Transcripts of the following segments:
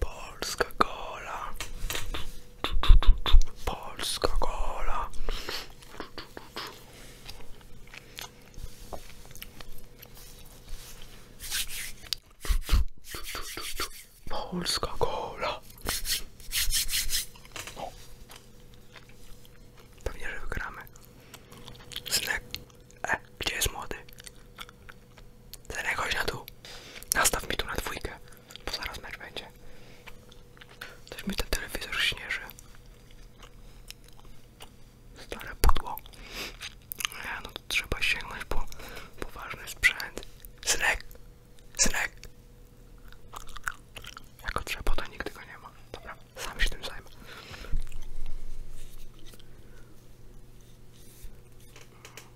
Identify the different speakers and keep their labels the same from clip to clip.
Speaker 1: Polska gola. Polska gola. Polska gola. O. Pewnie, że wygramy. Znek. E, gdzie jest młody? Zenek, chodź na dół. Nastaw mi tu na dwójkę, bo zaraz mecz będzie. Coś mi ten telewizor śnieży. Stare pudło. Ja, no to trzeba sięgnąć bo poważny sprzęt. Synek! Synek! Jako trzeba, to nigdy go nie ma. Dobra, sam się tym zajmę.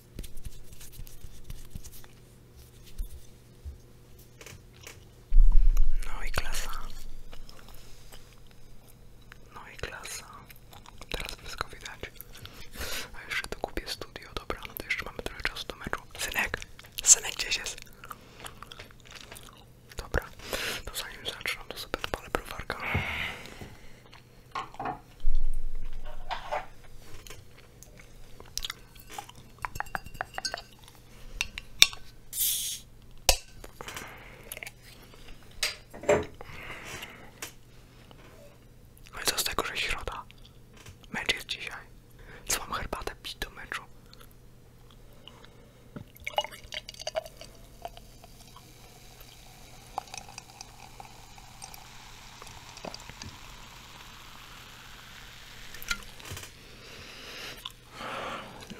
Speaker 1: No i klasa. No i klasa. Teraz wszystko widać. A jeszcze to kupię studio. Dobra, no to jeszcze mamy trochę czasu do meczu. Synek! Synek gdzie jest! Dobra, to zanim zaczynam, to sobie odpalę browarka. No i co z tego, że środa? Mecz Co mam herbatę pić do meczu?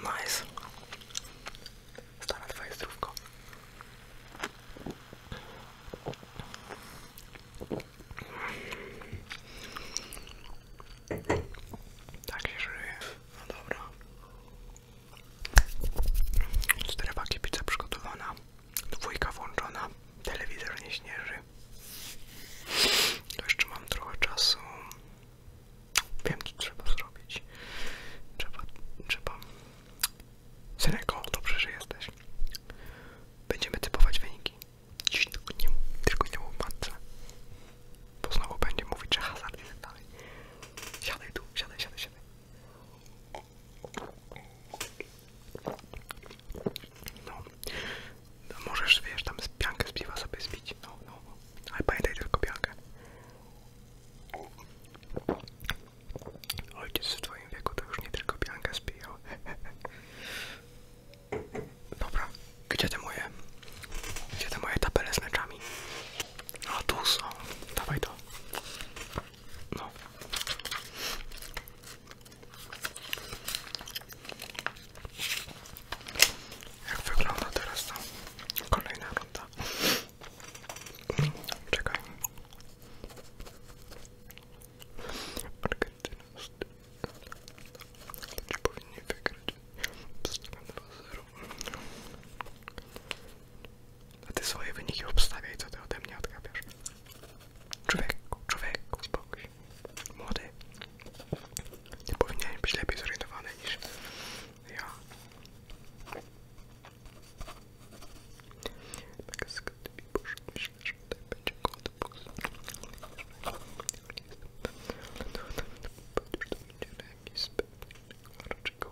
Speaker 1: Nice. Stara twoje zdrówko. Tak się żyje. No dobra. Cztery paki pizza przygotowana. Dwójka włączona, telewizor nie śnieży. jeszcze mam trochę czasu. Wiem, co trzeba zrobić. Trzeba, trzeba. Syneko, dobrze, że jesteś. Będziemy typować wyniki. Dziś tylko nie, tylko nie mów matce. Bo znowu będzie mówić, że hazard jest dalej. Siadaj tu, siadaj, siadaj, siadaj. No. No możesz, wiesz, tam piankę z piwa sobie zbić, no, no, no, ale pamiętaj tylko piankę. Ojciec w twoim wieku to już nie tylko piankę spijał. Dobra, gdzie te moje, gdzie te moje tabele z meczami? No tu są, dawaj to. No. Jak wygląda teraz ta kolejna runda? Czekaj. Argentyna Czy powinni wygrać? Zostawiam 2-0. A ty swoje wyniki obstawiaj, co ty ode mnie odgapiasz. Człowiek, człowieku, spokój. Młody. Nie powinieneś być lepiej zorientowany niż ja. Tak, skąd mi Boże, myślę, że tutaj będzie kodbox. Będziesz to będzie remis pewnie. Raczej go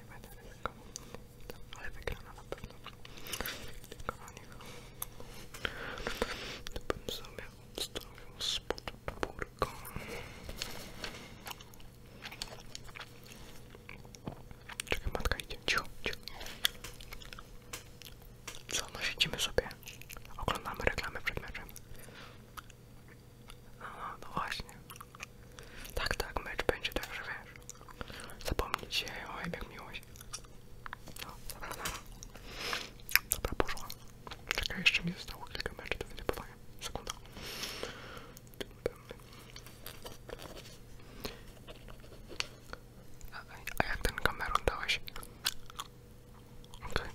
Speaker 1: nie będę ryzykował, ale wygrana na pewno. Kochani, to bym sobie ustawił spod pórką. Czekaj, matka idzie. Cicho, cicho. Co, no siedzimy sobie, oglądamy reklamy przed no, no właśnie. Tak, tak, mecz będzie dobrze, wiesz. zapomnijcie się o jak miłość. No, dobra, dobra. Dobra, poszła. Czekaj, jeszcze mi zostało kilka meczów do wytypowania. Sekunda. A, a jak ten kamerun dałeś? Okej. Okay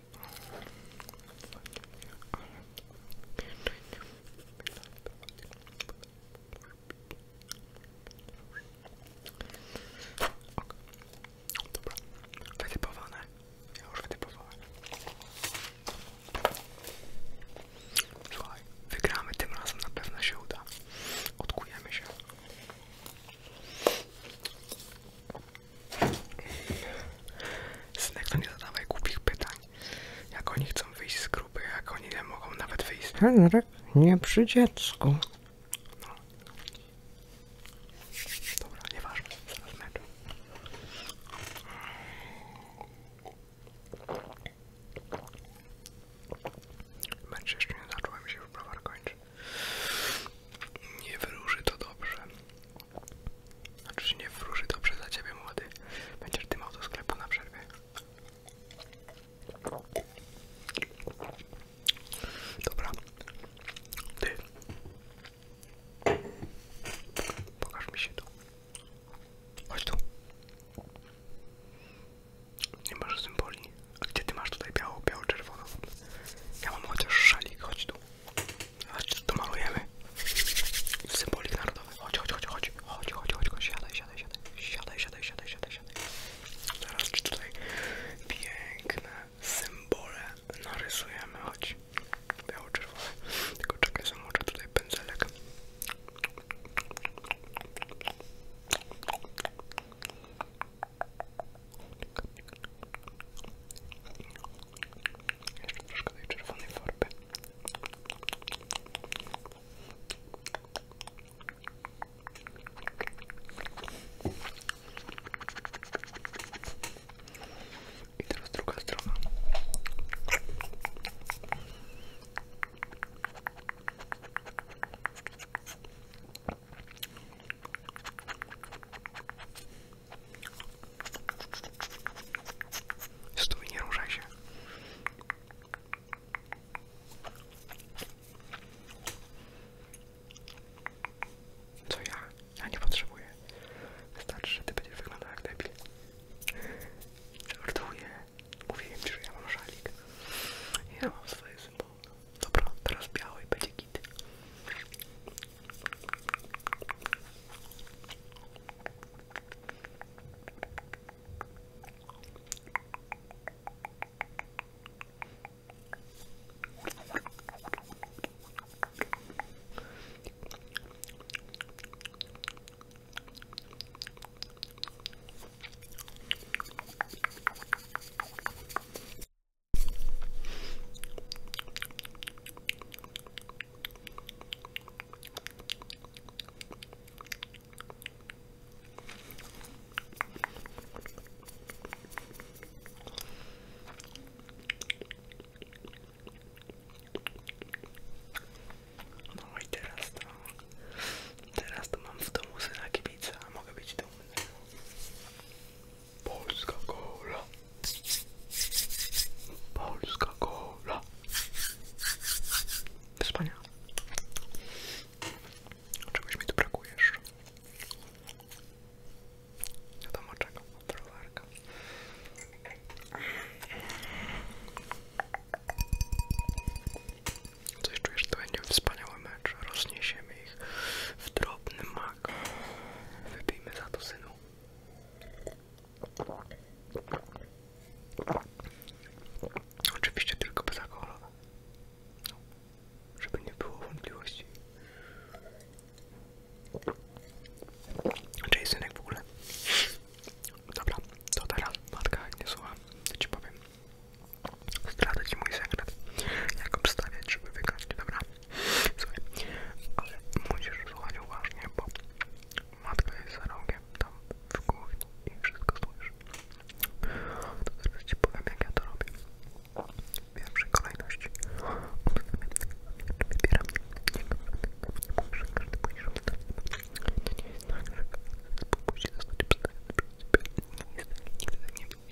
Speaker 1: Dobra, wytypowane. Ja już wytypowałem. Słuchaj, wygramy tym razem, na pewno się uda. Odkujemy się. Synek, to nie zadawaj głupich pytań. Jak oni chcą wyjść z grupy, jak oni nie mogą nawet wyjść. Henryk, nie przy dziecku. No. Dobra, nieważne, zaraz mecz. Mecz jeszcze nie zacząłem, się już browar kończy. Nie wyruszy to dobrze. Znaczy nie wróży dobrze za ciebie młody. Będziesz ty miał do sklepu na przerwie. Dobra. Ty. Pokaż mi się tu. Chodź tu. Nie masz symboli. A gdzie ty masz tutaj biało, biało, czerwono? Ja mam chociaż szalik, chodź tu. Chodź, tu malujemy. Symbolik narodowy. Chodź, chodź, chodź, chodź. Chodź, chodź, chodź, chodź. Siadaj, siadaj, siadaj. Siadaj, siadaj, siadaj, siadaj, siadaj. Teraz czy tutaj piękne symbole narysujemy. Chodź. Biało-czerwone. Tylko czekaj, zamoczę tutaj pędzelek. Jest troszkę tej czerwonej farby. I teraz druga strona. Stój, nie ruszaj Co ja? Ja nie potrzebuję. Wystarczy, że ty będziesz wyglądał jak debil. Żartuję. Mówiłem ci, że ja mam szalik. Ja mam swoje symbol. Dobra, teraz biały będzie git. No i teraz to, teraz to mám v tomu se na kibice a mogę być dumny. Polska kola. Polska kola. Wspaniale. Czegoś mi tu brakuje jeszcze. Wiadomo czego, browarka. Coś czujesz, to będzie wspaniały mecz. Rozniesiemy ich w drobny mak. wybijmy za to, synu. Oczywiście tylko bezalkoholowe. No, żeby nie było wątpliwości. Jasonek w ogóle. Dobra, to teraz matka, nie słucha, to ci powiem. Zdradzę ci mój sekret. Jak obstawiać, żeby wygrać, dobra? Słuchaj, ale musisz słuchać uważnie, bo matka jest za rogiem, tam w kuchni i wszystko słyszysz. To teraz ci powiem, jak ja to robię. W pierwszej kolejności wybieram każdy pójdziesz ostatni. To nie jest tak, że każdy pójdzie zostać przedstawiony przez ciebie. Nigdy tak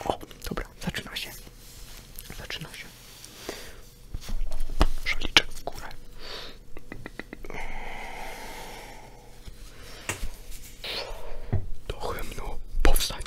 Speaker 1: O, dobra, zaczyna się. Zaczyna się. Przeliczek w górę. Do hymnu powstań.